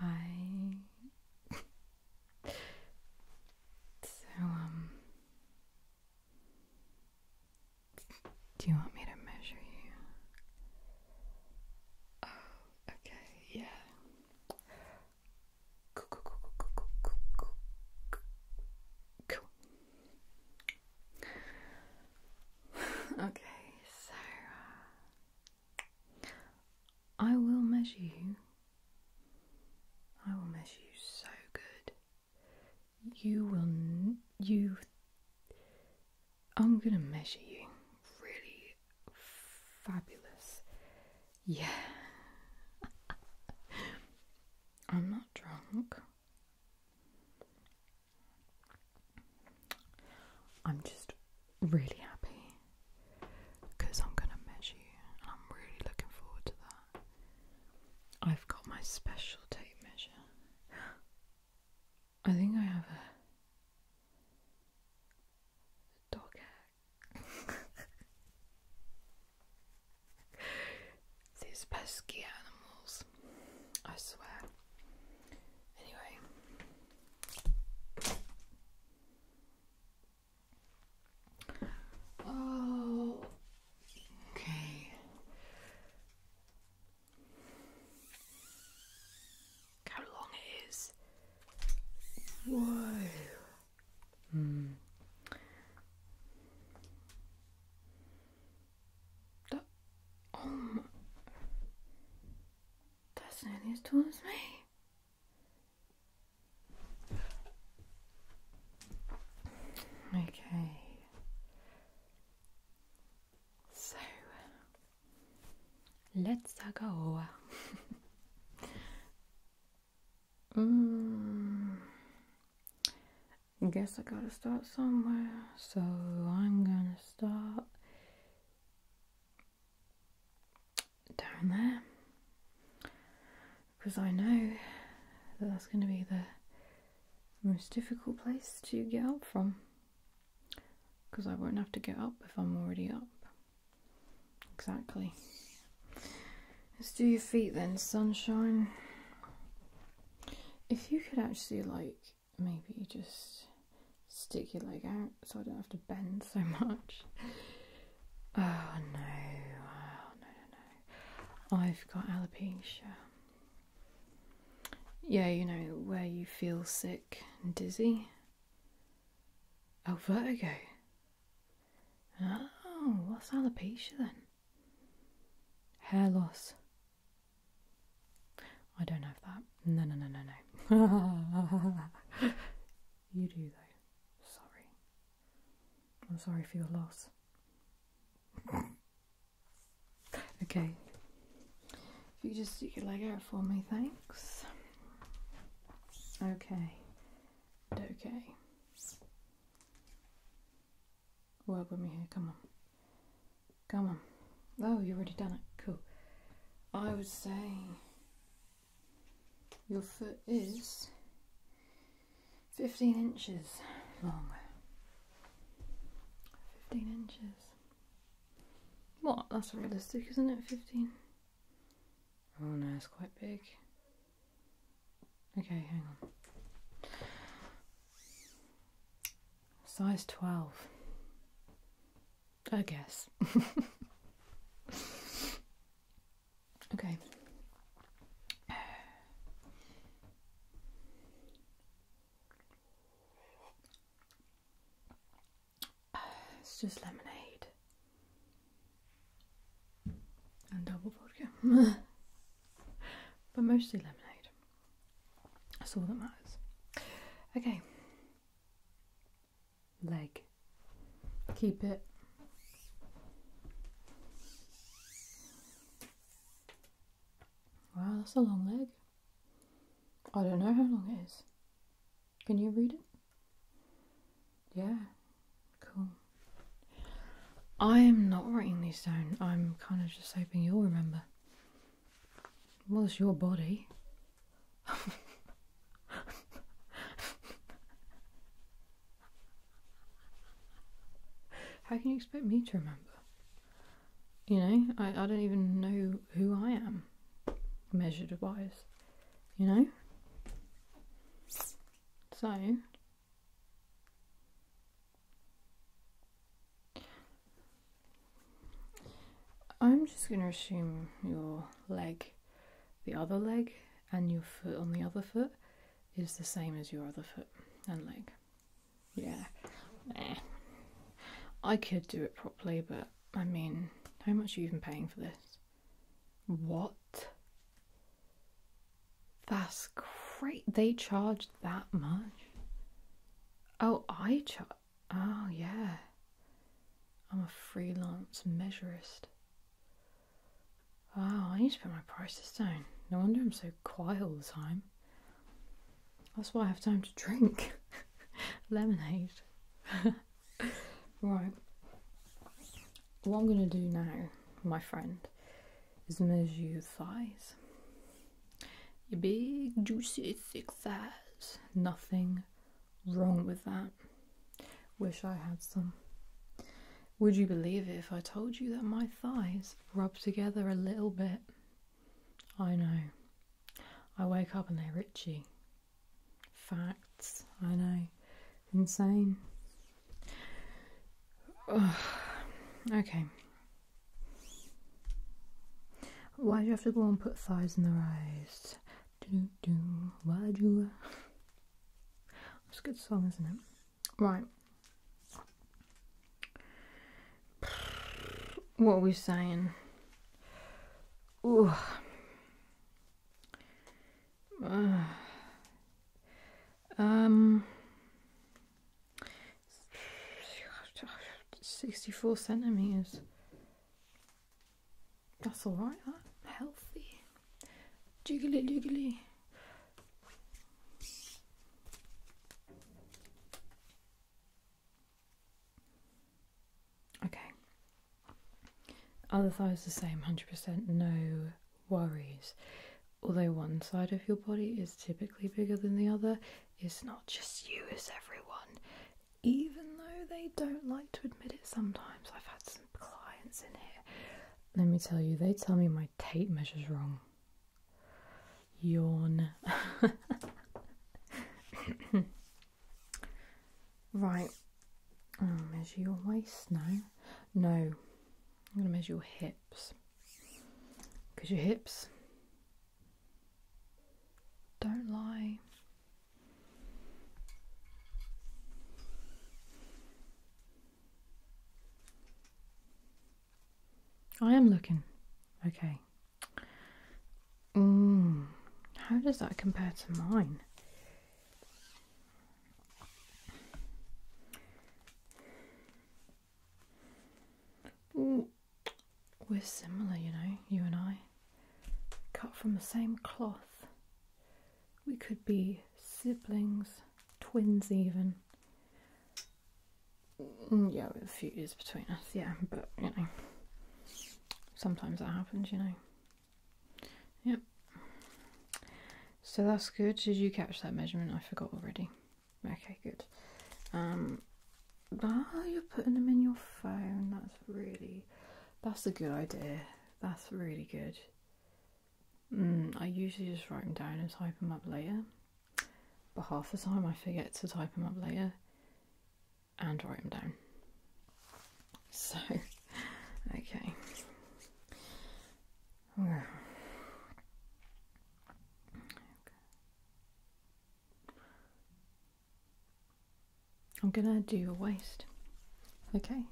Hi. so, um, do you want me to measure you? Oh, okay, yeah. okay, so uh, I will measure you. I will measure you so good. You will. you. I'm gonna measure you really fabulous. Yeah. I'm not drunk. I'm just really happy because I'm going to measure and I'm really looking forward to that. I've got my special tape measure. I think I have a dog hair. These pesky animals. I swear. Anyway. Oh, okay. how long it is. Whoa. Hmm. The, oh um, That's nearly as tall as me. Okay. So, let's uh, go. mm. I guess I gotta start somewhere, so I'm gonna start down there because I know that that's gonna be the most difficult place to get up from because I won't have to get up if I'm already up. Exactly. Let's do your feet then, sunshine. If you could actually, like, maybe just stick your leg out so I don't have to bend so much. Oh no, oh, no, no, no. I've got alopecia. Yeah, you know, where you feel sick and dizzy. Oh, vertigo. Oh, what's alopecia then? Hair loss. I don't have that. No, no, no, no, no. you do, though. Sorry. I'm sorry for your loss. okay. If you just stick your leg out for me, thanks. Okay. Okay. Work with me here. Come on. Come on. Oh, you have already done it. Cool. I would say your foot is 15 inches long. 15 inches. What? That's realistic, isn't it? 15? Oh no, it's quite big. Okay, hang on. Size 12. I guess. okay. It's just lemonade and double vodka. but mostly lemonade. That's all that matters. Okay. Leg. Keep it. Wow, that's a long leg. I don't know how long it is. Can you read it? Yeah, cool. I am not writing these down. I'm kind of just hoping you'll remember. Was your body. How can you expect me to remember? You know, I, I don't even know who I am, measured wise. You know? So, I'm just going to assume your leg, the other leg, and your foot on the other foot is the same as your other foot and leg. Yeah. I could do it properly, but I mean, how much are you even paying for this? What? That's great. They charge that much. Oh, I charge. Oh, yeah. I'm a freelance measurist. Wow, I need to put my prices down. No wonder I'm so quiet all the time. That's why I have time to drink lemonade. right. What I'm going to do now, my friend, is measure your thighs. Your big, juicy, thick thighs. Nothing wrong with that. Wish I had some. Would you believe it if I told you that my thighs rub together a little bit? I know. I wake up and they're itchy. Facts, I know insane. Okay. Why do you have to go and put thighs in the rice? Do do. Why do you? It's a good song, isn't it? Right. What were we saying? Uh, um, 64 centimeters. That's all right. healthy. Jiggly, jiggly. Okay. Other thighs the same, hundred percent. No worries. Although one side of your body is typically bigger than the other, it's not just you, it's everyone. Even though they don't like to admit it sometimes, I've had some clients in here. Let me tell you, they tell me my tape measure's wrong. Yawn. right, measure your waist now. No, I'm going to measure your hips because your hips don't lie. I am looking. Okay. Mm, how does that compare to mine? We're similar, you know, you and I. Cut from the same cloth. We could be siblings, twins, even. Mm, yeah, with a few years between us, yeah, but you know, sometimes that happens, you know. Yep. So that's good. Did you catch that measurement? I forgot already. Okay, good. Um, you're putting them in your phone. That's really, that's a good idea. That's really good. Mm, I usually just write them down and type them up later. But half the time I forget to type them up later and write them down. So, okay. I'm gonna do your waist. Okay.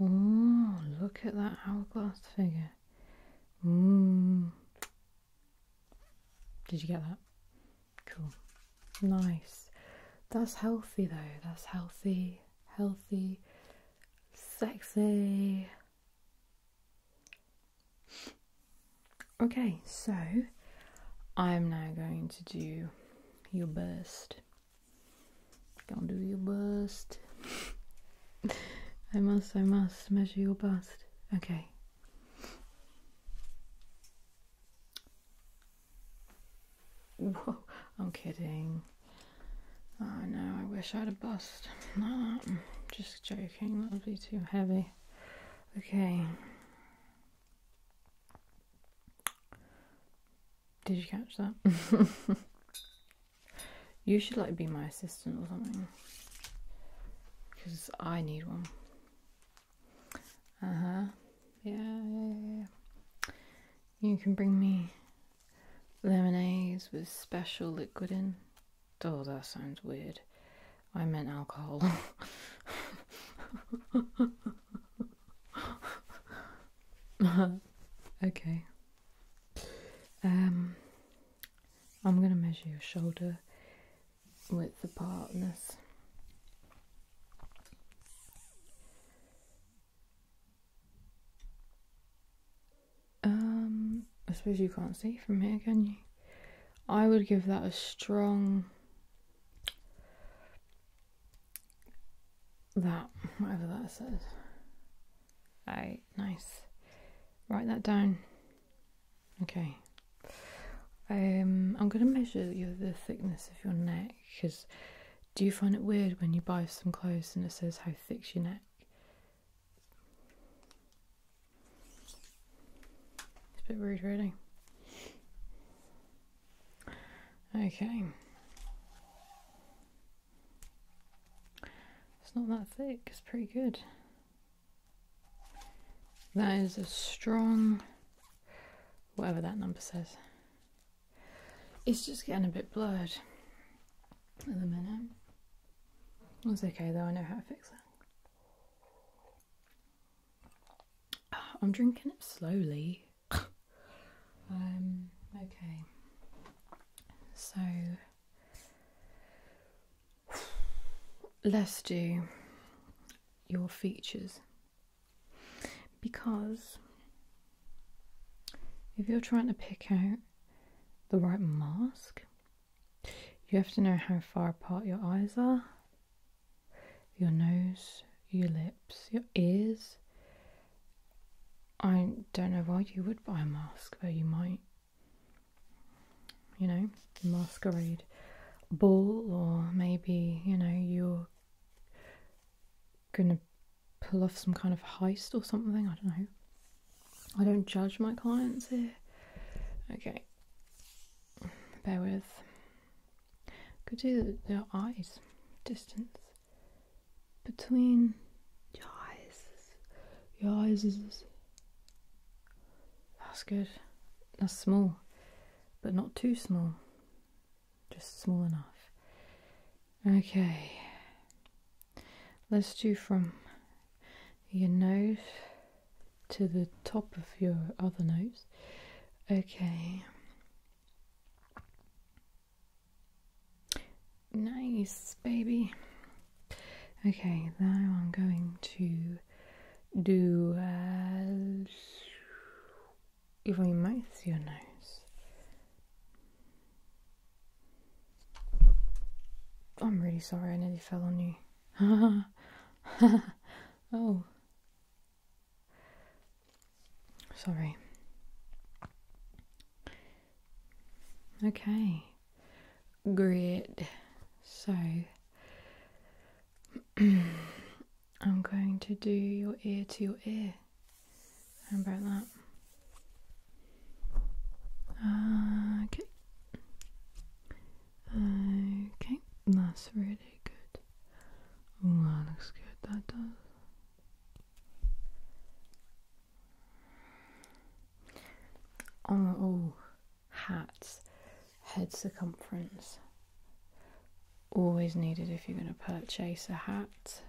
Oh, look at that hourglass figure. Mmm. Did you get that? Cool. Nice. That's healthy though. That's healthy, healthy, sexy. Okay, so I'm now going to do your burst. Gonna do your bust. I must, I must measure your bust. Okay. Whoa, I'm kidding. I know. I wish I had a bust. No, just joking, that would be too heavy. Okay. Did you catch that? you should like be my assistant or something. Because I need one. Uh huh. Yeah, You can bring me lemonades with special liquid in. Oh, that sounds weird. I meant alcohol. okay. Um, I'm going to measure your shoulder width the partner's. Um, I suppose you can't see from here, can you? I would give that a strong. That, whatever that says. A nice. Write that down. Okay. Um, I'm going to measure your, the thickness of your neck because do you find it weird when you buy some clothes and it says how thick's your neck? It's a bit rude, really. Okay. It's not that thick, it's pretty good. That is a strong, whatever that number says. It's just getting a bit blurred at the minute. It's okay though, I know how to fix that. Ah, I'm drinking it slowly. um, okay. So Let's do your features because if you're trying to pick out the right mask, you have to know how far apart your eyes are, your nose, your lips, your ears. I don't know why you would buy a mask, though you might you know, masquerade ball, or maybe, you know, you're gonna pull off some kind of heist or something. I don't know. I don't judge my clients here. Okay, bear with. Could do their eyes distance between your eyes. Your eyes that's good. That's small, but not too small. Just small enough. Okay. Let's do from your nose to the top of your other nose. Okay. Nice, baby. Okay, now I'm going to do uh, If I even my your nose. I'm really sorry I nearly fell on you. oh. Sorry. Okay grid. So I'm going to do your ear to your ear. How about that? okay. Okay, that's really good. Oh, looks good. That does. Oh, hats, head circumference. Always needed if you're going to purchase a hat.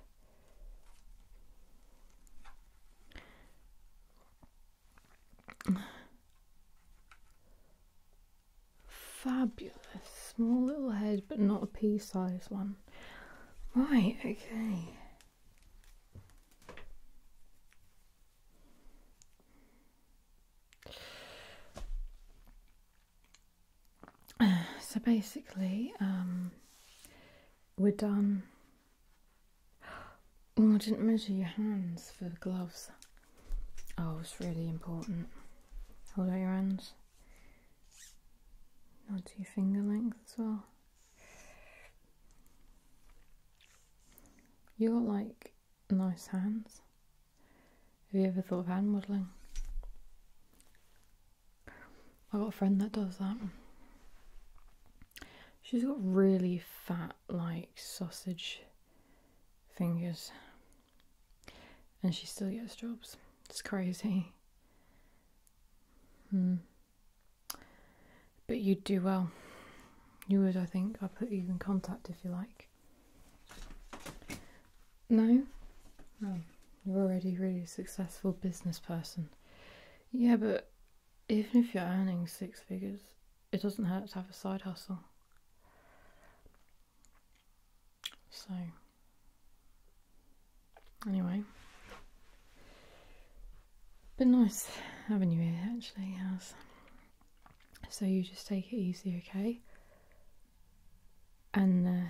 Fabulous. Small little head, but not a pea sized one. Right, okay. So basically, um, we're done. Oh, I didn't measure your hands for the gloves. Oh, it's really important. Hold out your hands. Not to your finger length as well. You got like nice hands. Have you ever thought of hand modelling? I got a friend that does that. She's got really fat, like sausage fingers, and she still gets jobs. It's crazy. Hmm. But you'd do well. You would, I think. I'll put you in contact if you like. No? You're already really successful business person. Yeah, but even if you're earning six figures, it doesn't hurt to have a side hustle. So, Anyway. But nice having you here actually, House. So you just take it easy, okay? And uh,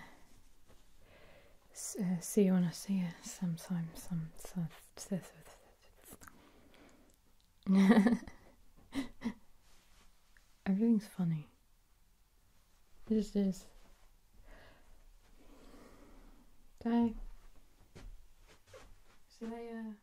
uh, see you when I see you Sometimes, some, some, some, Everything's funny. This is. Okay. See you uh, later.